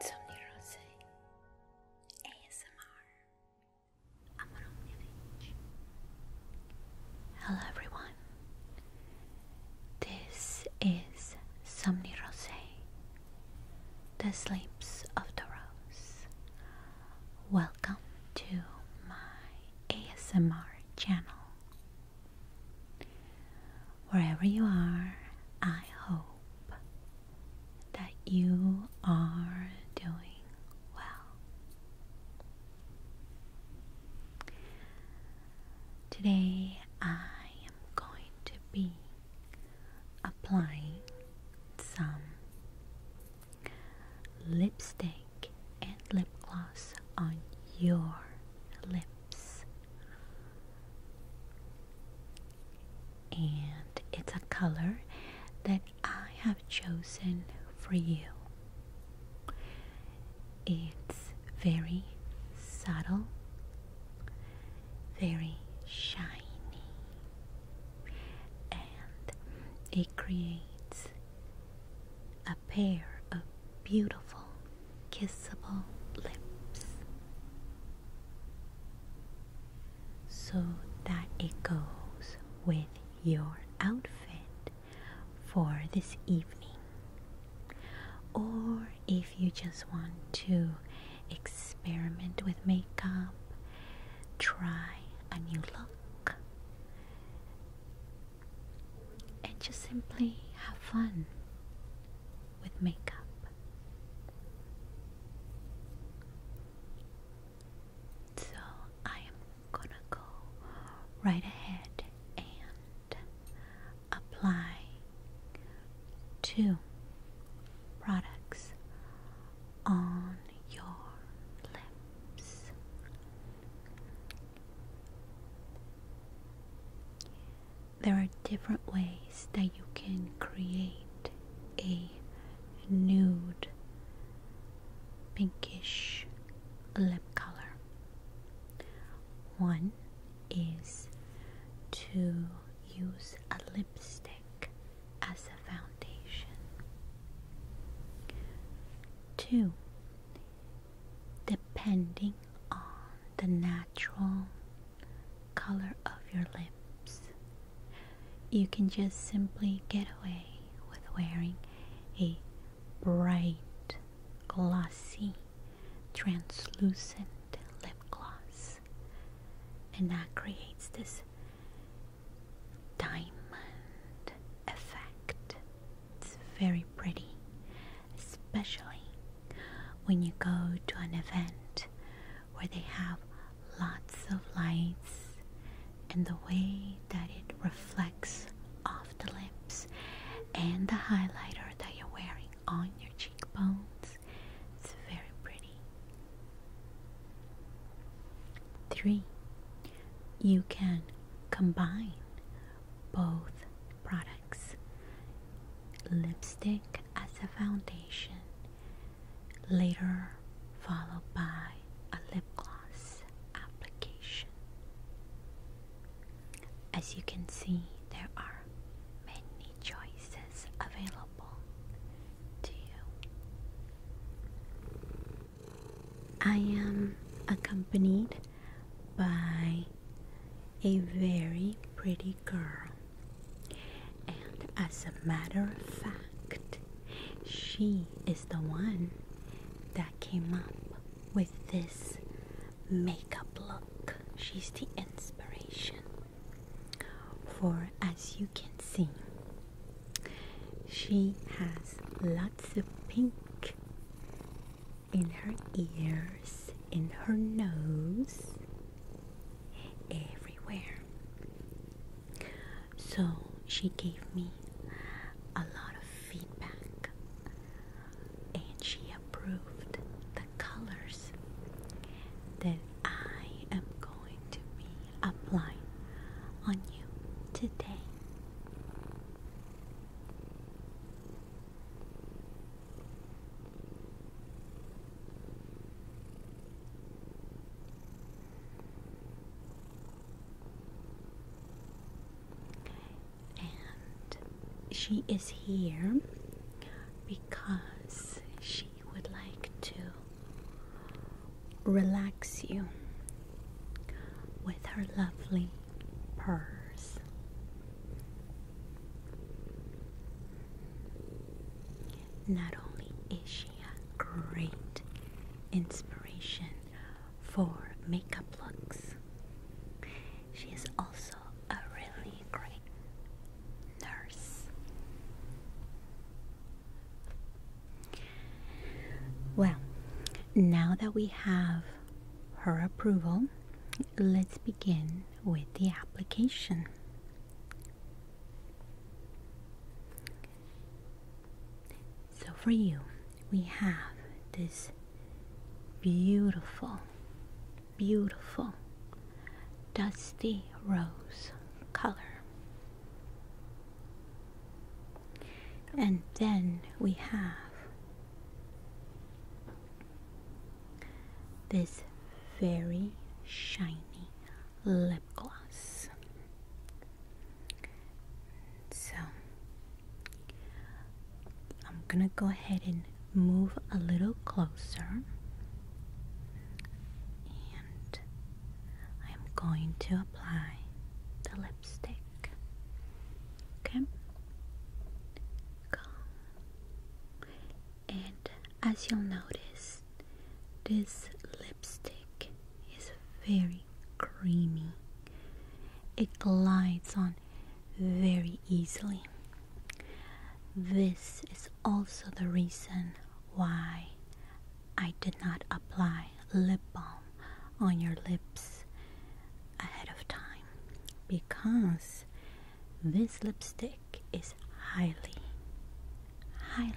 Somni Rose ASMR. I'm Hello everyone. This is Somni Rose, the sleeps of the rose. Welcome to my ASMR channel. Wherever you are, I hope that you are doing well. Today, I am going to be applying some lipstick and lip gloss on your lips. And it's a color that I have chosen for you. It's very subtle, very shiny, and it creates a pair of beautiful, kissable lips, so that it goes with your outfit for this evening. Or if you just want to experiment with makeup, try a new look and just simply have fun with makeup. So I am gonna go right ahead and apply two products on your lips. There are different ways that you can create a nude pinkish lip color. One is to use a lipstick as a foundation. 2. Depending on the natural color of your lips, you can just simply get away with wearing a bright, glossy, translucent lip gloss, and that creates this diamond effect. It's very pretty, especially when you go to an event where they have lots of lights and the way that it reflects off the lips and the highlighter that you're wearing on your cheekbones. It's very pretty. Three, you can combine both products lipstick as a foundation, later followed by a lip gloss application. As you can see, there are many choices available. I am accompanied by a very pretty girl, and as a matter of fact, she is the one that came up with this makeup look. She's the inspiration. For as you can see, she has lots of pink in her ears, in her nose, everywhere. So she gave me a lot of feedback and she approved the colors that I am going going to be applying on you today. And she is here because she would like to relax you with her lovely purrs. Not only is she a great inspiration for makeup looks, she is also a really great nurse. Well, now that we have her approval, let's begin with the application. So, for you, we have this beautiful, beautiful dusty rose color. And then we have this very shiny lip gloss. So I'm going to go ahead and move a little closer and I'm going to apply the lipstick. Okay? Go. And as you'll notice, this lipstick is very creamy. It glides on very easily. This is also the reason why I did not apply lip balm on your lips ahead of time because this lipstick is highly, highly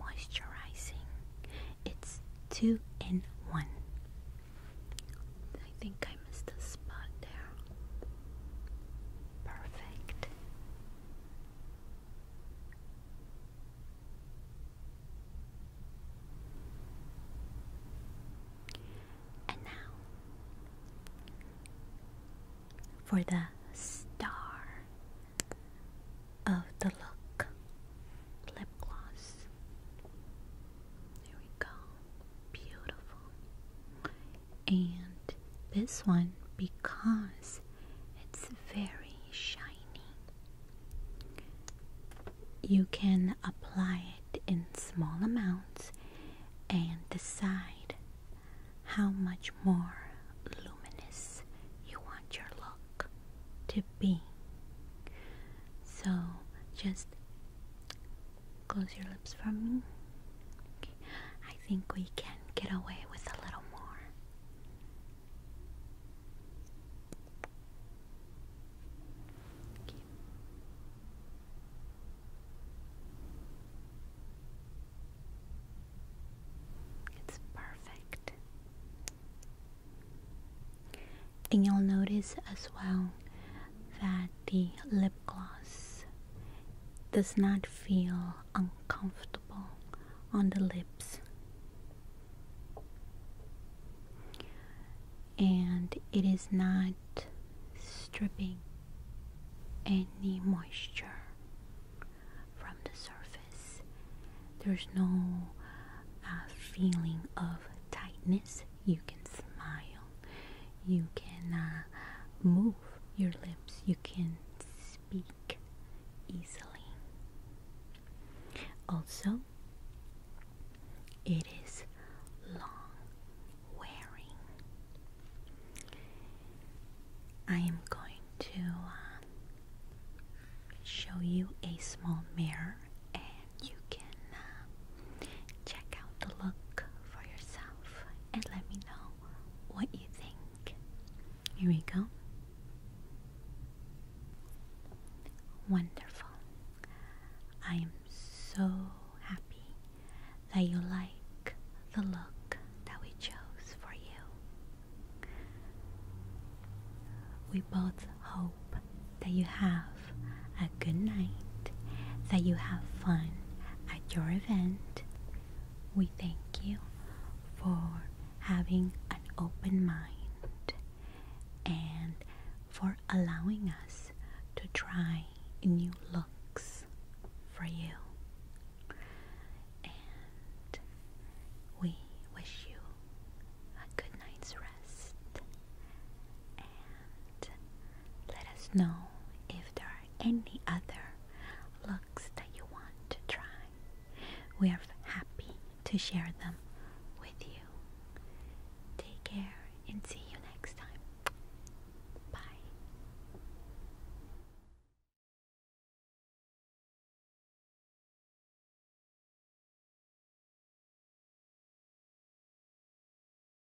moisturizing. It's two in one. I think I missed a spot there. Perfect. And now for the star of the look lip gloss. There we go. Beautiful and this one because it's very shiny. You can apply it in small amounts and decide how much more luminous you want your look to be. So just Close your lips for me. Okay. I think we can get away with a little more. It's perfect. And you'll notice as well that the lip gloss does not feel uncomfortable on the lips. And it is not stripping any moisture from the surface. There's no uh, feeling of tightness. You can smile, you can uh, move your lips, you can speak easily. Also, it is long wearing. I am going to um, show you a small mirror and you can uh, check out the look for yourself and let me know what you think. Here we go. Wonderful. I am so happy that you like the look that we chose for you. We both hope that you have good night, that you have fun at your event. We thank you for having an open mind and for allowing us to try new looks for you. And we wish you a good night's rest let us know if there are any other looks that you want to try. We are happy to share them with you. Take care and see you next time. Bye.